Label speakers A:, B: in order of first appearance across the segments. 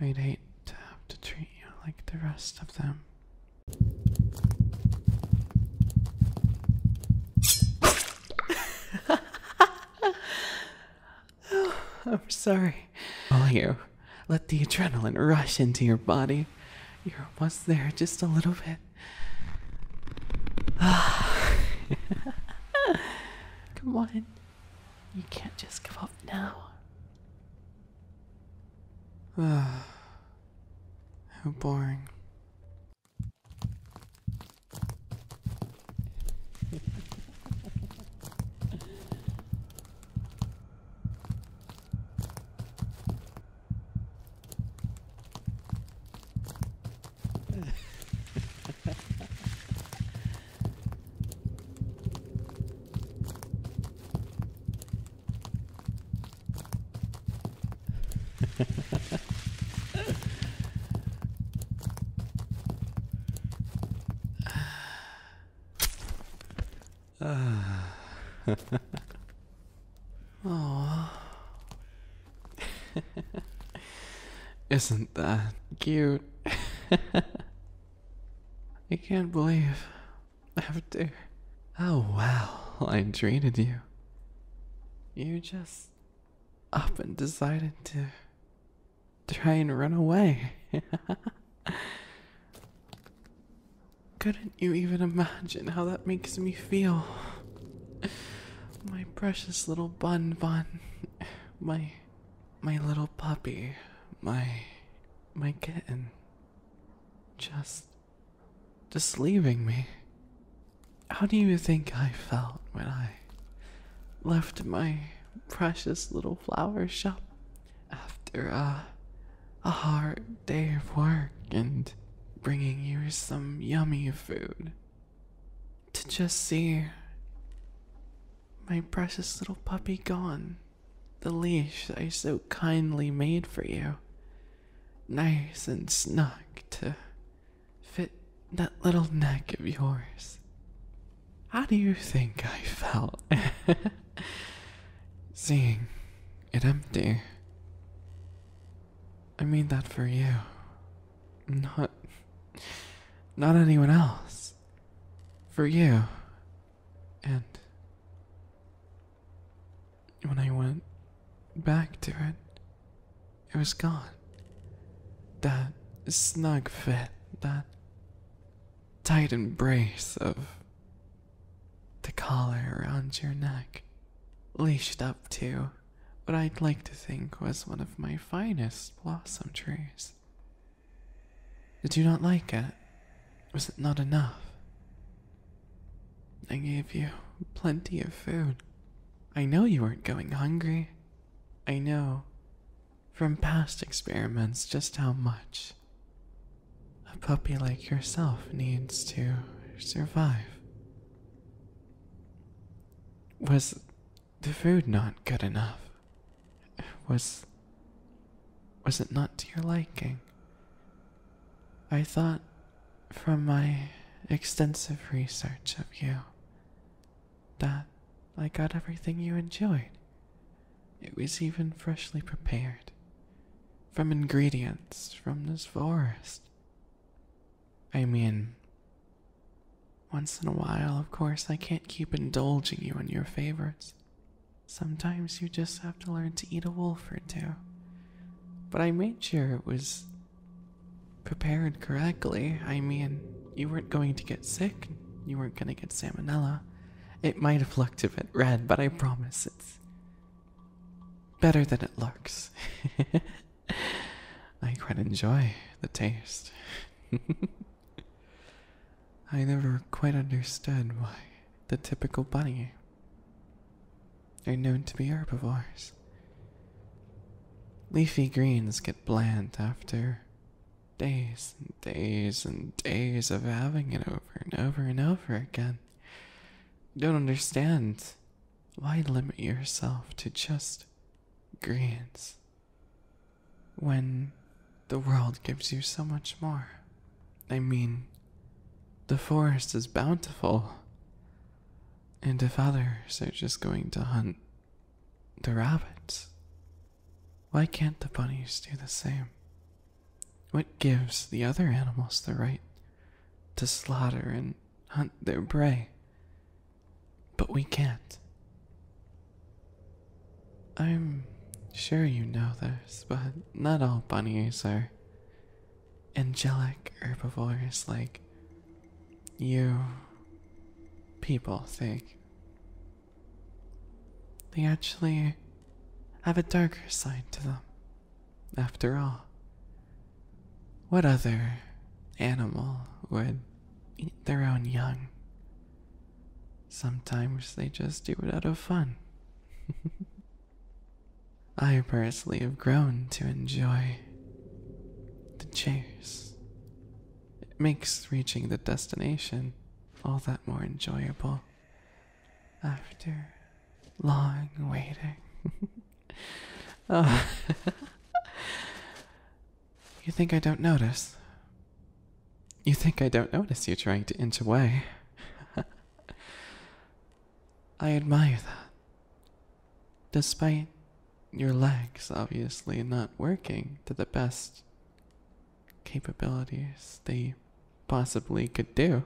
A: I'd hate to have to treat you like the rest of them. I'm sorry. All you let the adrenaline rush into your body. You're almost there, just a little bit. Come on. You can't just give up now. Ah, how boring. Oh. Isn't that cute? I can't believe after how well I oh, treated you. You just up and decided to try and run away. Couldn't you even imagine how that makes me feel? My precious little bun bun. My my little puppy, my my kitten just just leaving me. How do you think I felt when I left my precious little flower shop after a a hard day of work and bringing you some yummy food to just see my precious little puppy gone. The leash I so kindly made for you. Nice and snug to fit that little neck of yours. How do you think I felt seeing it empty? I made that for you. Not not anyone else for you. And when I went back to it, it was gone. That snug fit, that tight embrace of the collar around your neck, leashed up to what I'd like to think was one of my finest blossom trees. Did you not like it? Was it not enough? I gave you plenty of food. I know you weren't going hungry. I know from past experiments just how much a puppy like yourself needs to survive. Was the food not good enough? Was was it not to your liking? I thought from my extensive research of you that I got everything you enjoyed. It was even freshly prepared from ingredients from this forest. I mean, once in a while, of course, I can't keep indulging you in your favorites. Sometimes you just have to learn to eat a wolf or two. But I made sure it was prepared correctly. I mean, you weren't going to get sick, you weren't going to get salmonella. It might have looked a bit red, but I promise it's better than it looks. I quite enjoy the taste. I never quite understood why the typical bunny are known to be herbivores. Leafy greens get bland after days and days and days of having it over and over and over again. Don't understand why limit yourself to just greens when the world gives you so much more. I mean, the forest is bountiful. And if others are just going to hunt the rabbits, why can't the bunnies do the same? What gives the other animals the right to slaughter and hunt their prey? But we can't. I'm sure you know this, but not all bunnies are angelic herbivores like you people think. They actually have a darker side to them. After all, what other animal would eat their own young? Sometimes they just do it out of fun. I personally have grown to enjoy the chase. It makes reaching the destination all that more enjoyable after long waiting. oh. you think I don't notice? You think I don't notice you trying to inch away? I admire that. Despite your legs obviously not working to the best capabilities they possibly could do,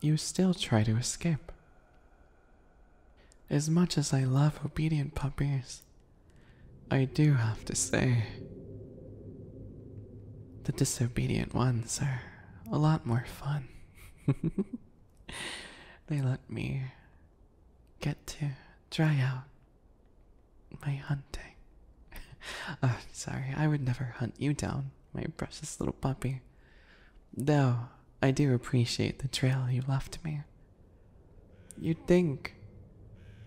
A: you still try to escape. As much as I love obedient puppies, I do have to say, the disobedient ones are a lot more fun. they let me get to try out my hunting. oh, sorry, I would never hunt you down, my precious little puppy. Though I do appreciate the trail you left me. You'd think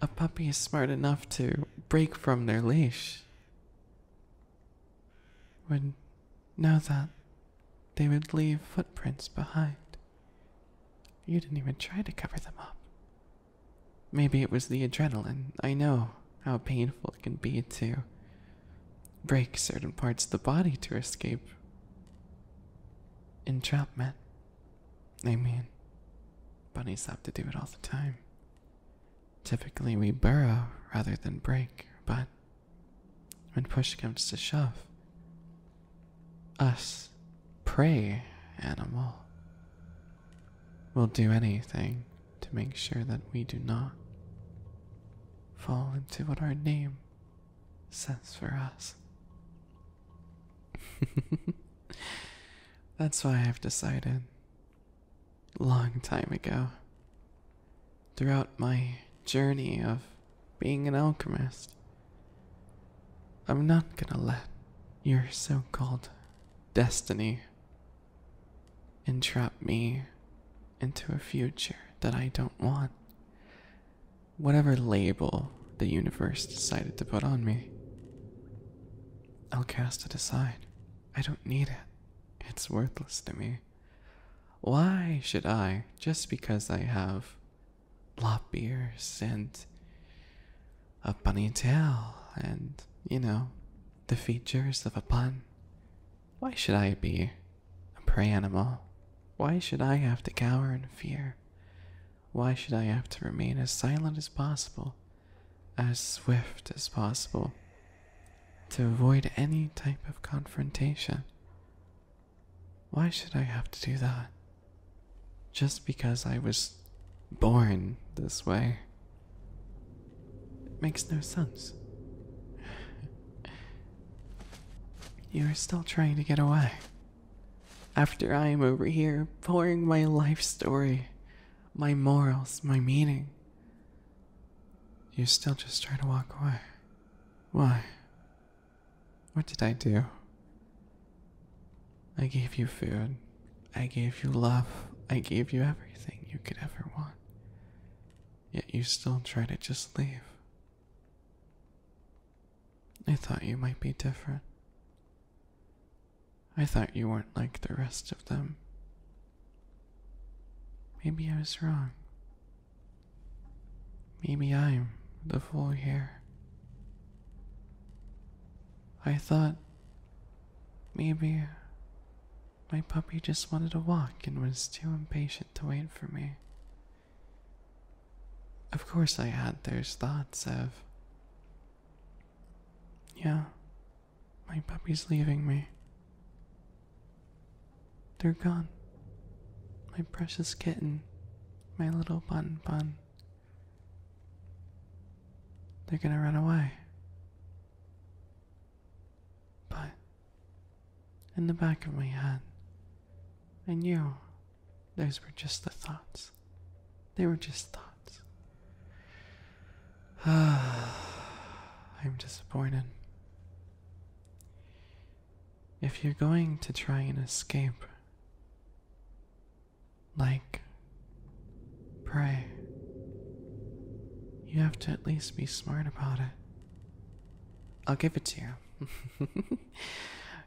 A: a puppy is smart enough to break from their leash. Would know that they would leave footprints behind. You didn't even try to cover them up. Maybe it was the adrenaline. I know how painful it can be to break certain parts of the body to escape entrapment. I mean, bunnies have to do it all the time. Typically, we burrow rather than break, but when push comes to shove, us, prey animal, will do anything to make sure that we do not fall into what our name says for us. That's why I've decided long time ago throughout my journey of being an alchemist I'm not going to let your so-called destiny entrap me into a future that I don't want. Whatever label the universe decided to put on me, I'll cast it aside. I don't need it. It's worthless to me. Why should I, just because I have lop ears and a bunny tail and, you know, the features of a pun, why should I be a prey animal? Why should I have to cower in fear? Why should I have to remain as silent as possible, as swift as possible, to avoid any type of confrontation? Why should I have to do that? Just because I was born this way. It makes no sense. You are still trying to get away. After I am over here pouring my life story my morals, my meaning. You still just try to walk away. Why? What did I do? I gave you food. I gave you love. I gave you everything you could ever want. Yet you still try to just leave. I thought you might be different. I thought you weren't like the rest of them. Maybe I was wrong. Maybe I'm the fool here. I thought maybe my puppy just wanted to walk and was too impatient to wait for me. Of course, I had those thoughts of yeah, my puppy's leaving me. They're gone. My precious kitten, my little bun bun. They're gonna run away. But in the back of my head, I knew those were just the thoughts. They were just thoughts. I'm disappointed. If you're going to try and escape, like, pray, you have to at least be smart about it. I'll give it to you.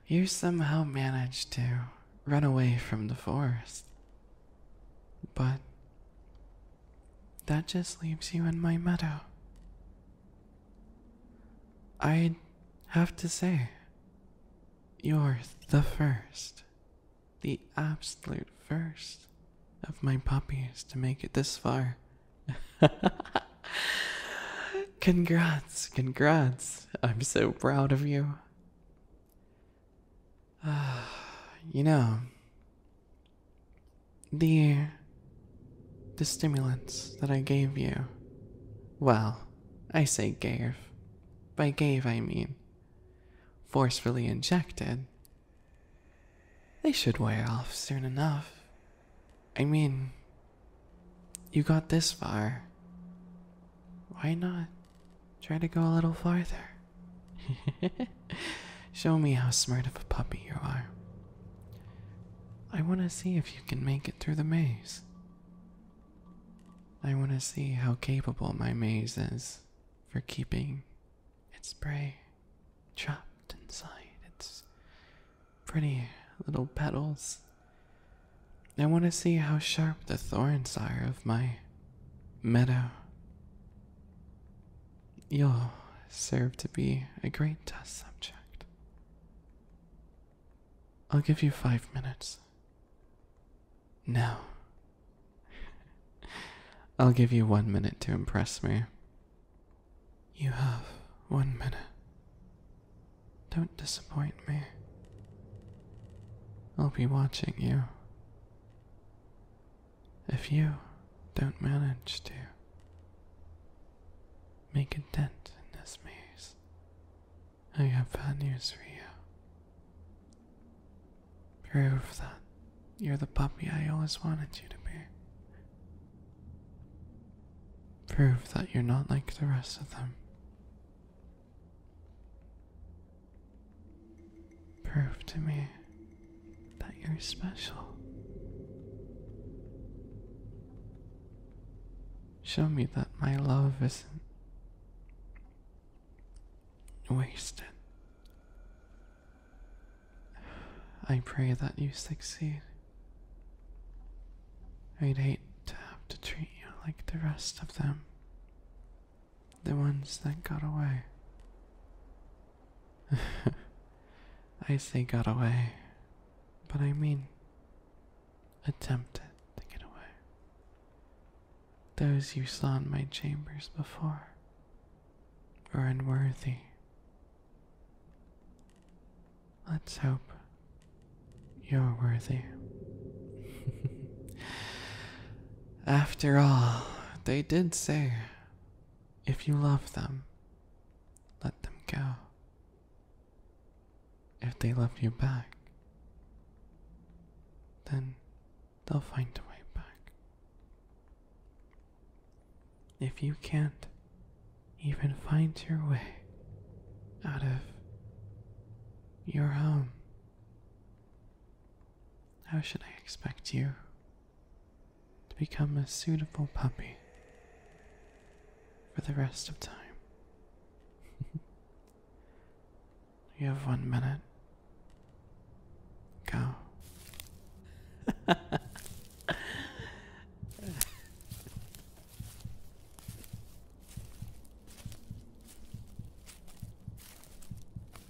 A: you somehow managed to run away from the forest. But that just leaves you in my meadow. i have to say, you're the first, the absolute first of my puppies to make it this far. congrats, congrats. I'm so proud of you. Ah, you know, the the stimulants that I gave you. Well, I say gave. By gave, I mean forcefully injected. They should wear off soon enough. I mean, you got this far. Why not try to go a little farther? Show me how smart of a puppy you are. I want to see if you can make it through the maze. I want to see how capable my maze is for keeping its prey trapped inside its pretty little petals. I want to see how sharp the thorns are of my Meadow, you'll serve to be a great test subject. I'll give you five minutes. No. I'll give you one minute to impress me. You have one minute. Don't disappoint me. I'll be watching you if you don't manage to make a dent in this maze, I have bad news for you. Prove that you're the puppy I always wanted you to be. Prove that you're not like the rest of them. Prove to me that you're special. Show me that my love isn't wasted. I pray that you succeed. I'd hate to have to treat you like the rest of them. The ones that got away. I say got away, but I mean attempted to get away. Those you saw in my chambers before were unworthy. Let's hope you're worthy. After all, they did say if you love them, let them go. If they love you back, then they'll find a way back. If you can't even find your way out of your home, how should I expect you to become a suitable puppy for the rest of time? you have one minute. Go.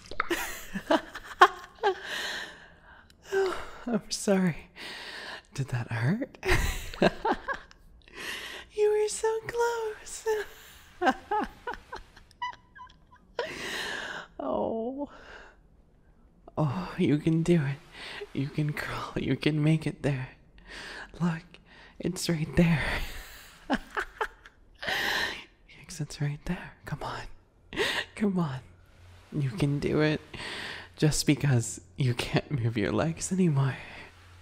A: I'm sorry. Did that hurt? you were so close. oh. Oh, you can do it. You can crawl. You can make it there. Look, it's right there. The exit's right there. Come on. Come on. You can do it. Just because you can't move your legs anymore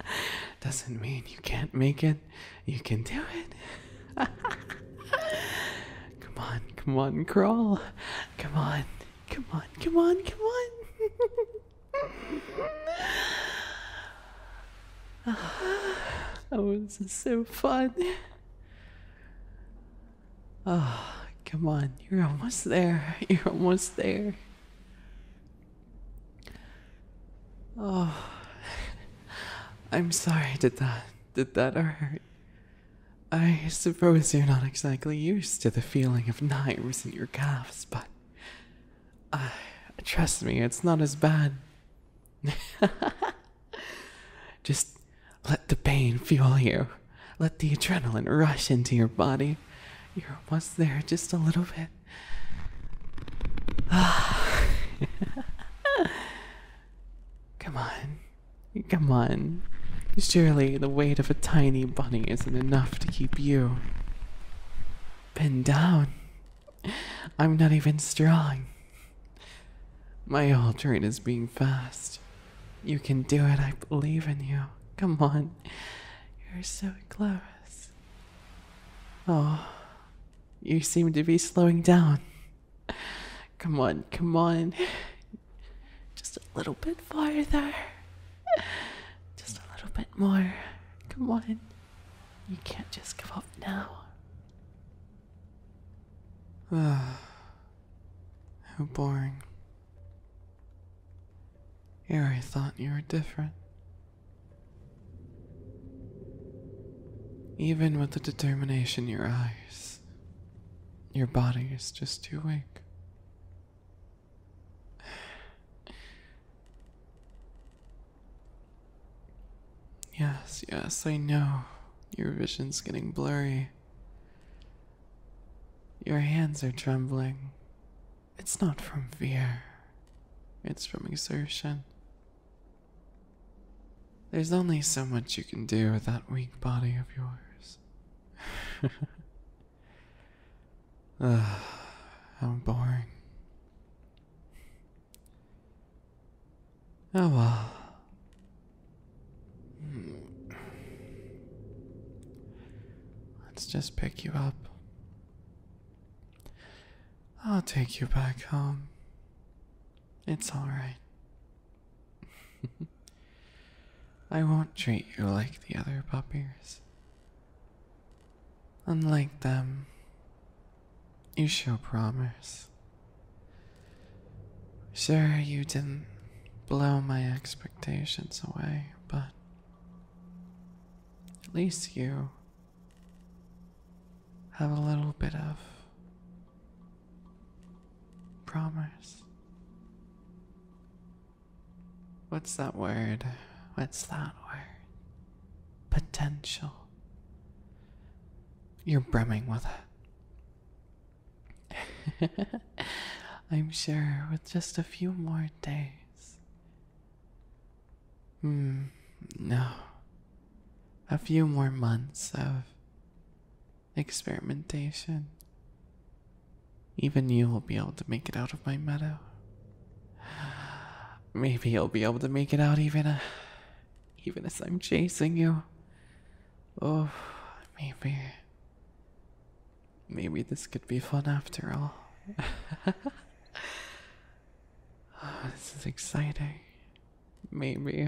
A: doesn't mean you can't make it. You can do it. come on, come on, crawl. Come on, come on, come on, come on. That was so fun. Oh, come on. You're almost there. You're almost there. Oh, I'm sorry. Did that did that hurt? I suppose you're not exactly used to the feeling of knives in your calves, but uh, trust me, it's not as bad Just let the pain fuel you. Let the adrenaline rush into your body. You're almost there, just a little bit. Come on. Come on. Surely the weight of a tiny bunny isn't enough to keep you. Bend down. I'm not even strong. My train is being fast. You can do it, I believe in you. Come on, you're so close. Oh, you seem to be slowing down. Come on, come on. Just a little bit farther. Just a little bit more. Come on. You can't just give up now. Ah, how boring. Here I thought you were different. Even with the determination in your eyes, your body is just too weak. Yes, yes, I know. Your vision's getting blurry. Your hands are trembling. It's not from fear, it's from exertion. There's only so much you can do with that weak body of yours. I'm ah, boring. Oh well. Let's just pick you up. I'll take you back home. It's alright. I won't treat you like the other puppies. Unlike them, you show promise. Sure, you didn't blow my expectations away, but at least you have a little bit of promise. What's that word? What's that word? Potential. You're brimming with it. I'm sure with just a few more days. Hmm, no. A few more months of experimentation. Even you will be able to make it out of my meadow. Maybe you'll be able to make it out even a even as I'm chasing you. Oh, maybe. Maybe this could be fun after all. Oh, this is exciting. Maybe.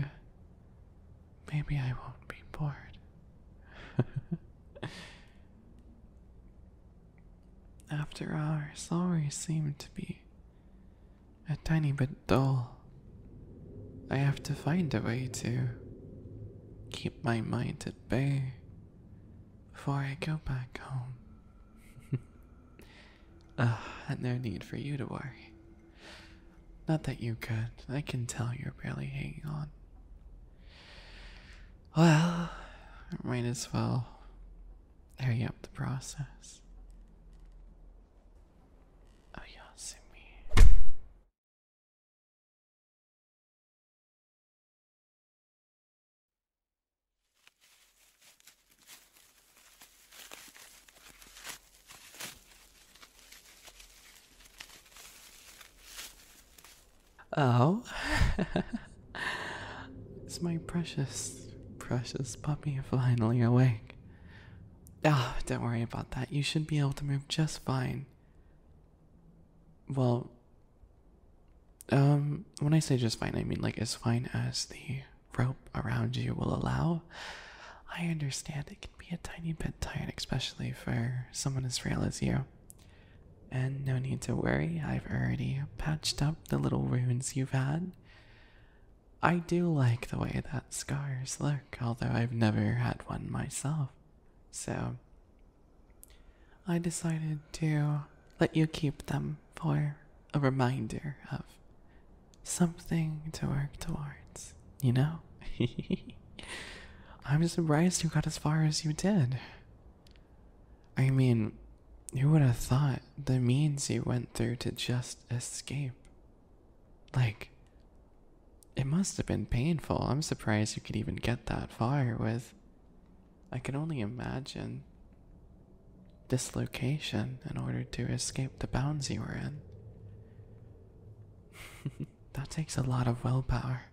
A: Maybe I won't be bored. after all, always seem to be a tiny bit dull. I have to find a way to keep my mind at bay before I go back home. Ah, uh, no need for you to worry. Not that you could, I can tell you're barely hanging on. Well, I might as well hurry up the process. Oh, oh. it's my precious, precious puppy finally awake. Ah, oh, don't worry about that. You should be able to move just fine. Well, um, when I say just fine, I mean like as fine as the rope around you will allow. I understand it can be a tiny bit tight, especially for someone as frail as you. And no need to worry, I've already patched up the little wounds you've had. I do like the way that scars look, although I've never had one myself. So I decided to let you keep them for a reminder of something to work towards, you know? I'm surprised you got as far as you did. I mean, who would have thought the means you went through to just escape? Like, it must have been painful. I'm surprised you could even get that far with. I can only imagine dislocation in order to escape the bounds you were in. that takes a lot of willpower.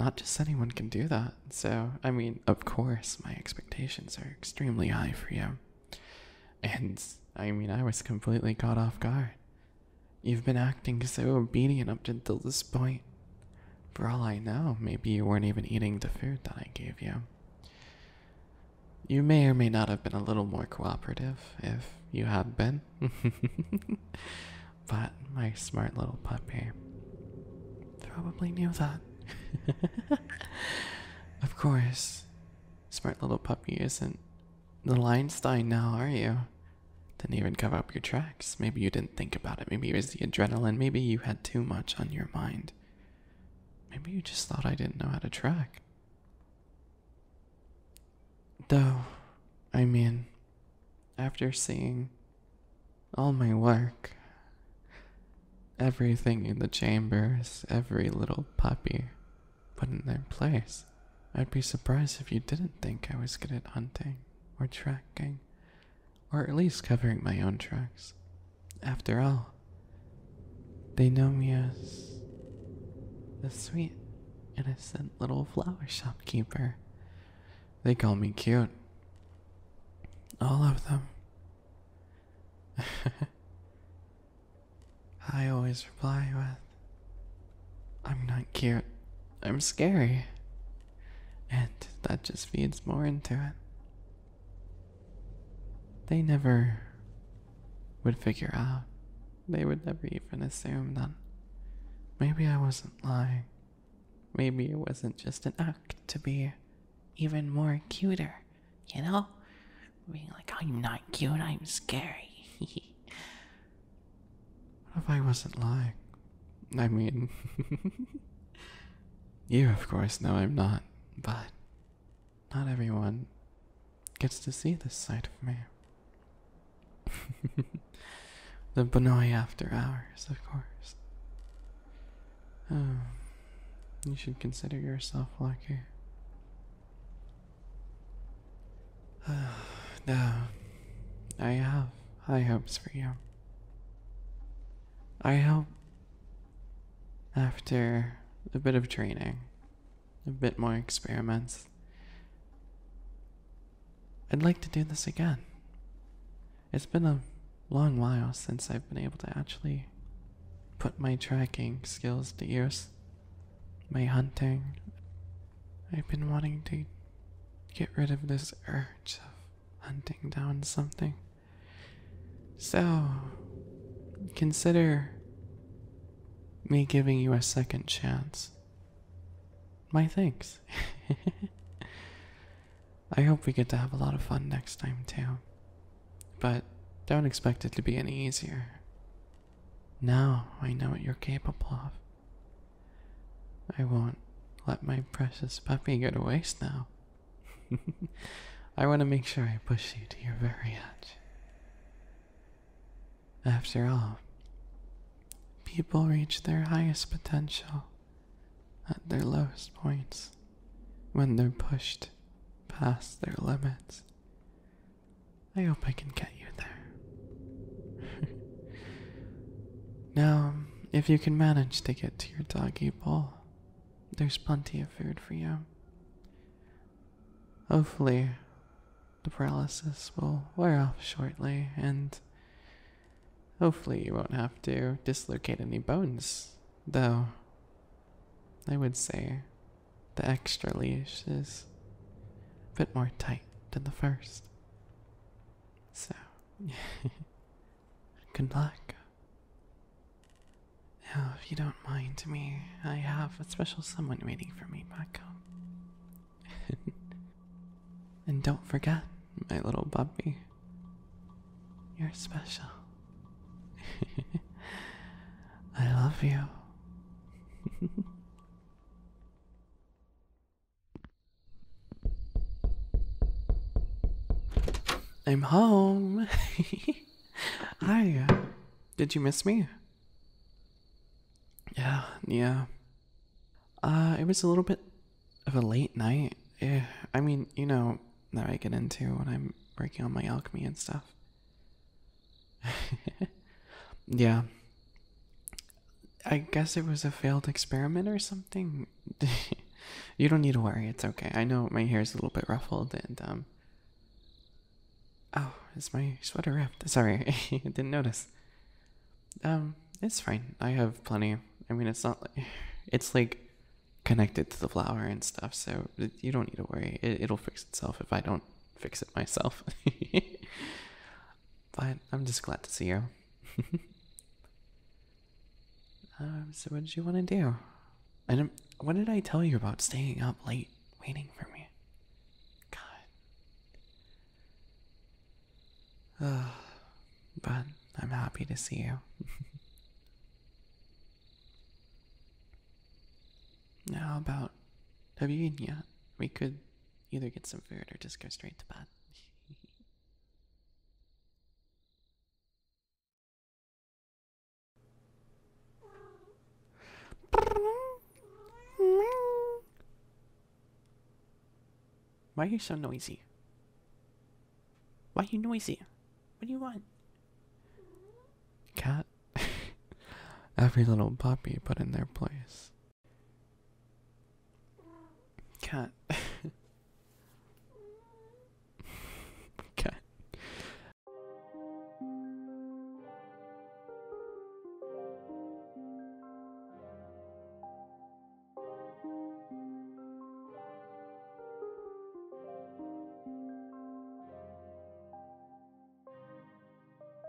A: Not just anyone can do that. So, I mean, of course, my expectations are extremely high for you. And I mean, I was completely caught off guard. You've been acting so obedient up until this point. For all I know, maybe you weren't even eating the food that I gave you. You may or may not have been a little more cooperative if you had been. but my smart little puppy probably knew that. of course, smart little puppy isn't the Einstein now, are you? Didn't even cover up your tracks. Maybe you didn't think about it. Maybe it was the adrenaline. Maybe you had too much on your mind. Maybe you just thought I didn't know how to track. Though, I mean, after seeing all my work, everything in the chambers, every little puppy, but in their place, I'd be surprised if you didn't think I was good at hunting or tracking, or at least covering my own tracks. After all, they know me as the sweet, innocent little flower shopkeeper. They call me cute. All of them. I always reply with, I'm not cute, I'm scary. And that just feeds more into it. They never would figure out, they would never even assume that maybe I wasn't lying. Maybe it wasn't just an act to be even more cuter, you know? being like, I'm not cute, I'm scary. what if I wasn't lying? I mean, you of course know I'm not, but not everyone gets to see this side of me. the bonoï after hours, of course. Oh, you should consider yourself lucky. no, I have high hopes for you. I hope after a bit of training, a bit more experiments, I'd like to do this again. It's been a long while since I've been able to actually put my tracking skills to use my hunting. I've been wanting to get rid of this urge of hunting down something. So, consider me giving you a second chance. My thanks. I hope we get to have a lot of fun next time, too. But don't expect it to be any easier. Now I know what you're capable of. I won't let my precious puppy go to waste now. I want to make sure I push you to your very edge. After all, people reach their highest potential at their lowest points when they're pushed past their limits. I hope I can get you there. now, um, if you can manage to get to your doggy bowl, there's plenty of food for you. Hopefully, the paralysis will wear off shortly, and hopefully, you won't have to dislocate any bones, though. I would say the extra leash is a bit more tight than the first. So, good luck. Now, if you don't mind me, I have a special someone waiting for me back home. and don't forget, my little puppy, you're special. I love you. I'm home. Hi. Did you miss me? Yeah, yeah. Uh, it was a little bit of a late night. Eh, I mean, you know, that I get into when I'm working on my alchemy and stuff. yeah. I guess it was a failed experiment or something. you don't need to worry, it's okay. I know my hair is a little bit ruffled and, um. Oh, is my sweater wrapped? Sorry, I didn't notice. Um, it's fine. I have plenty. I mean, it's not like. It's like connected to the flower and stuff, so you don't need to worry. it'll fix itself if I don't fix it myself. but I'm just glad to see you. Um, so what did you want to do? And um, what did I tell you about staying up late waiting for me? God. but I'm happy to see you. Now about Davinia, we could either get some food or just go straight to bed. Why are you so noisy? Why are you noisy? What do you want? Cat. Every little puppy put in their place. Cat. Cat.